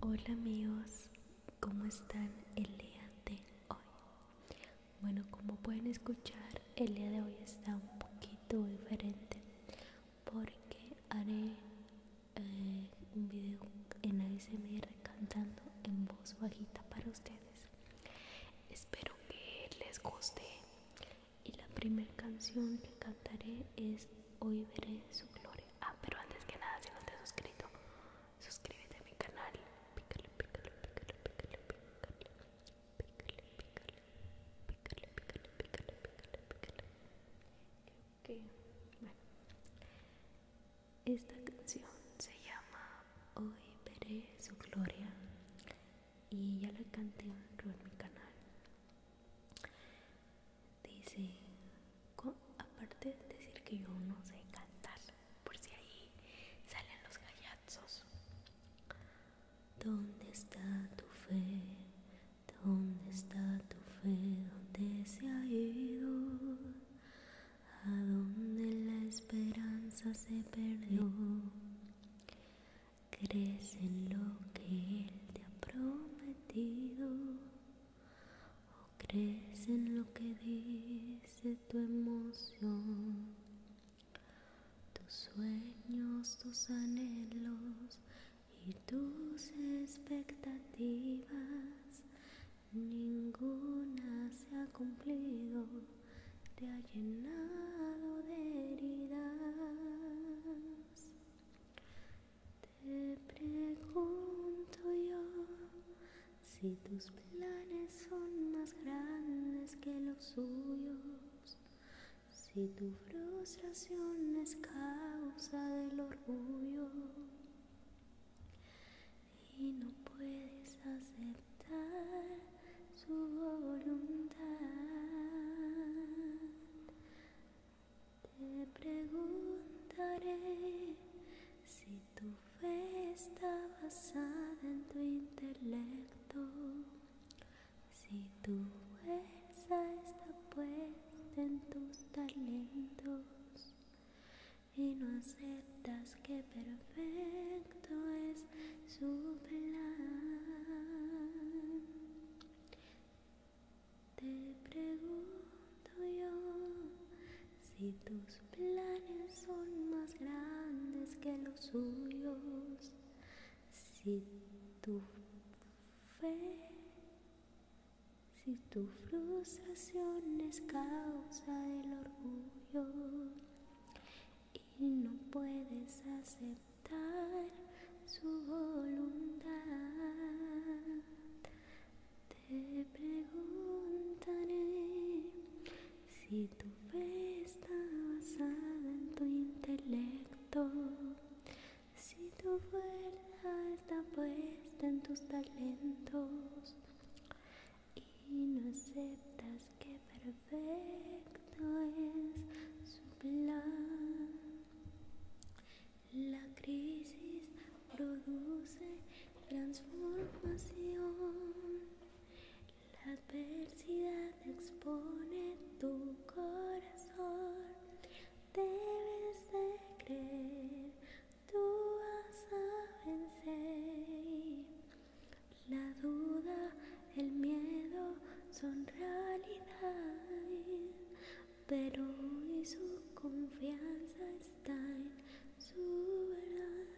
Hola amigos, ¿cómo están el día de hoy? Bueno, como pueden escuchar, el día de hoy está un poquito diferente porque haré un video en ASMR cantando en voz bajita para ustedes. Espero que les guste. Y la primera canción que cantaré es Hoy veré su gloria. Ah, pero antes que nada, si no te has suscrito, suscríbete a mi canal. pícale, pícale, pícale. Pícale, pícale, pícale, pícale, pícale, pícale, pícale que, bueno, esta canción se llama Hoy veré su gloria y ya la canté en mi canal. Dice, aparte de decir que yo no sé cantar, por si ahí salen los gallazos. ¿Dónde está tu fe? ¿Dónde está tu fe? ¿Dónde se ha ido? ¿A dónde la esperanza se perdió? ¿Crees en lo que Él te ha prometido? ¿O crees en lo que dice tu emoción? Tus sueños, tus anhelos y tus expectativas, ninguna se ha cumplido, te ha llenado de heridas. Te pregunto yo si tus planes son más grandes que los suyos, si tu frustración es causa del orgullo y no puedes aceptar su voluntad. Te preguntaré si tu fe está basada en tu intelecto, si tu fe está puesta en tus talentos y no aceptas que perfecto es su plan. Te pregunto yo si tus planes son más grandes que los suyos, si tu fe si tu frustración es causa del orgullo y no puedes aceptar su voluntad, te preguntaré si tu fe está basada en tu intelecto si tu fuerza está puesta en tus talentos y no aceptas que perfecto es su plan, la crisis produce transformación. La adversidad expone tu corazón debes de creer, tú vas a vencer. La duda, el miedo son realidad, pero hoy su confianza está en su verdad.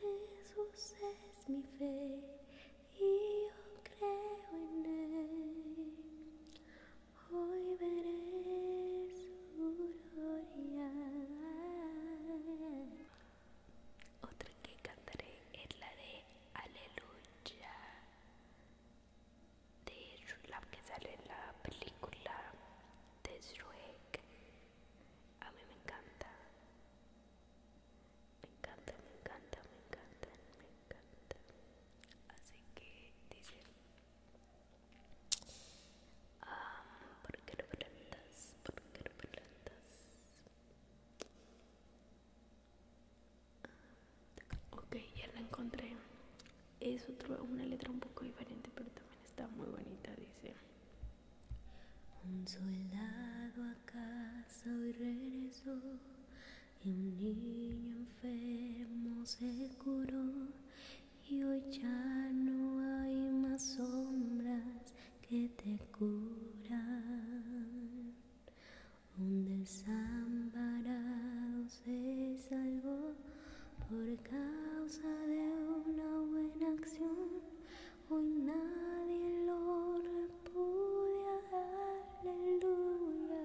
Jesús es mi fe y yo creo en él. Hoy veré su gloria. Otra que cantaré es la de Aleluya de la que sale en la película de Shrek. A mí me encanta. Me encanta, me encanta, me encanta, me encanta. Así que dice porque ah, ¿Por qué no plantas? ¿Por qué no plantas? Ah, ok, ya la encontré. Es otra una letra un poco diferente, pero también está muy bonita. Dice: Un soldado a casa regresó y un niño enfermo se curó y hoy ya no hay más sombras que te curan. Un desamparado se salvó por causa de una buena acción. Hoy nadie lo repudia. Aleluya.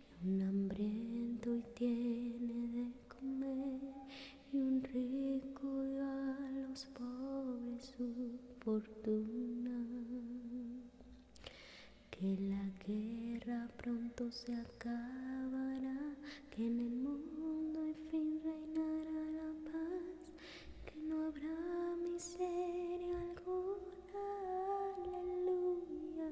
un hambriento y tiene de comer, y un rico a los pobres su fortuna. Que la guerra pronto se acabará, que en el mundo en fin reinará la paz, que no habrá miseria alguna. Aleluya.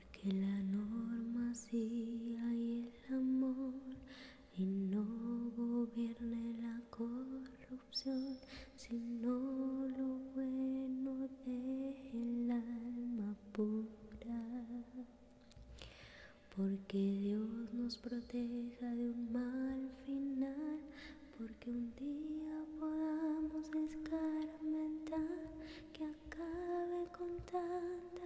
porque la norma sí hay el amor y no gobierne la corrupción, sino lo bueno del alma pura. Porque Dios nos proteja de un mal final, porque un día podamos escarmentar que acabe con tanta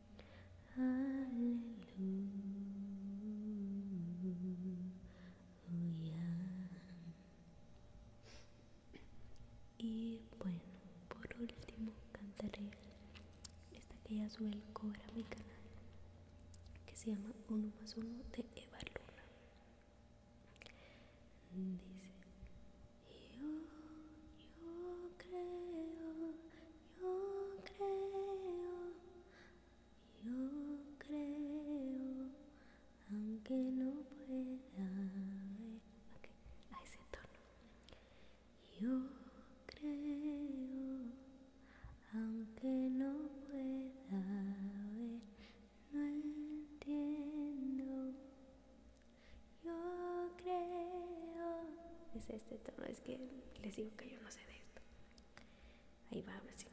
Aleluya. Y bueno, por último cantaré esta que ya sube el mi canal, que se llama Uno más Uno de Eva Luna. Dice. Yo, creo, yo creo, yo creo, aunque no pueda ver. a ese entorno Yo creo, aunque no pueda ver, no entiendo. Yo creo. Es este tono, es que les digo que yo no sé de esto. Ahí va, ahora sí.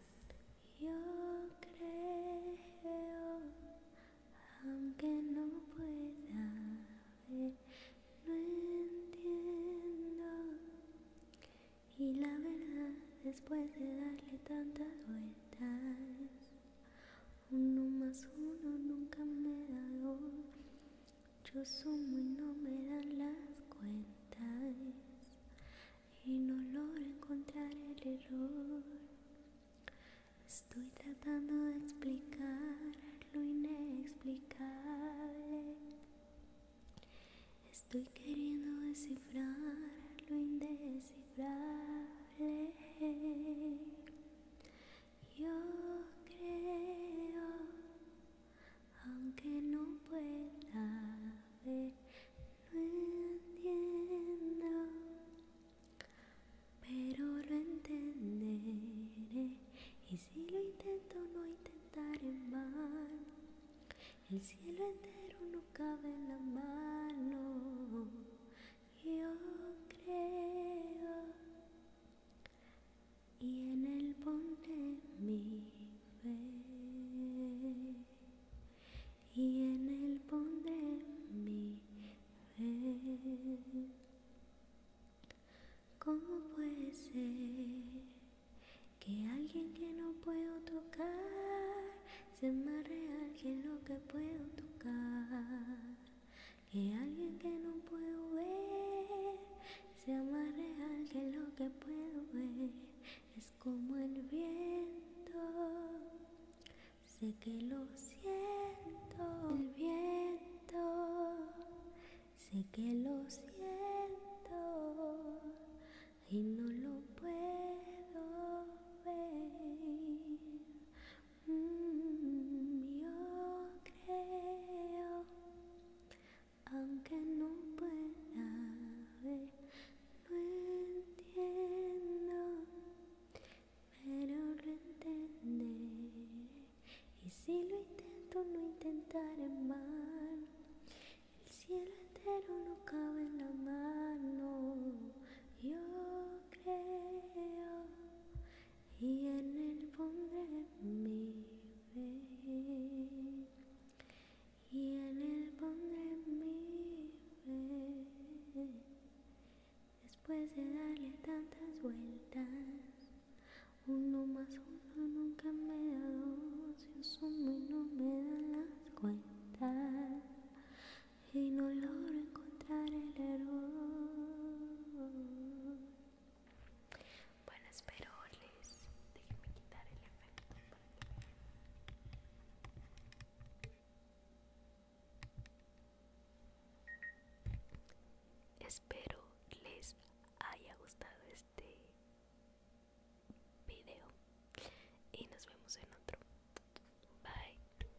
Yo creo, aunque no pueda ver, no entiendo. Y la verdad, después de darle tantas vueltas, uno más uno nunca me da dos. Yo sumo y no me dan las cuentas. Y no logro encontrar el error. Estoy tratando de explicar lo inexplicable. Estoy queriendo descifrar lo indescifrable. Yo creo, aunque no pueda ver, Lo entiendo, pero lo entenderé. Y si lo intento, no intentaré mal El cielo entero no cabe en la mano. Yo creo y en el ponte mi fe, y en el ponte mi fe. ¿Cómo puede ser que alguien que no puedo tocar se más real que lo que puedo tocar? Que alguien que no puedo ver sea más real que lo que puedo ver. Es como el viento, sé que lo siento. El viento, sé que lo siento y no lo puedo ver. Mm, yo creo, aunque no pueda ver, no entiendo, pero lo entenderé. Y si lo intento, no intentaré mal. El cielo entero no cabe en la mano. Yo creo y en pon de mi ve, Y en pon de mi fe. Después de darle tantas vueltas, uno más uno nunca me da dos. Yo sumo y no me dan las cuentas y no logro encontrar el error. Bueno, espero les. Déjenme quitar el efecto Espero les haya gustado este video y nos vemos en otro. Bye.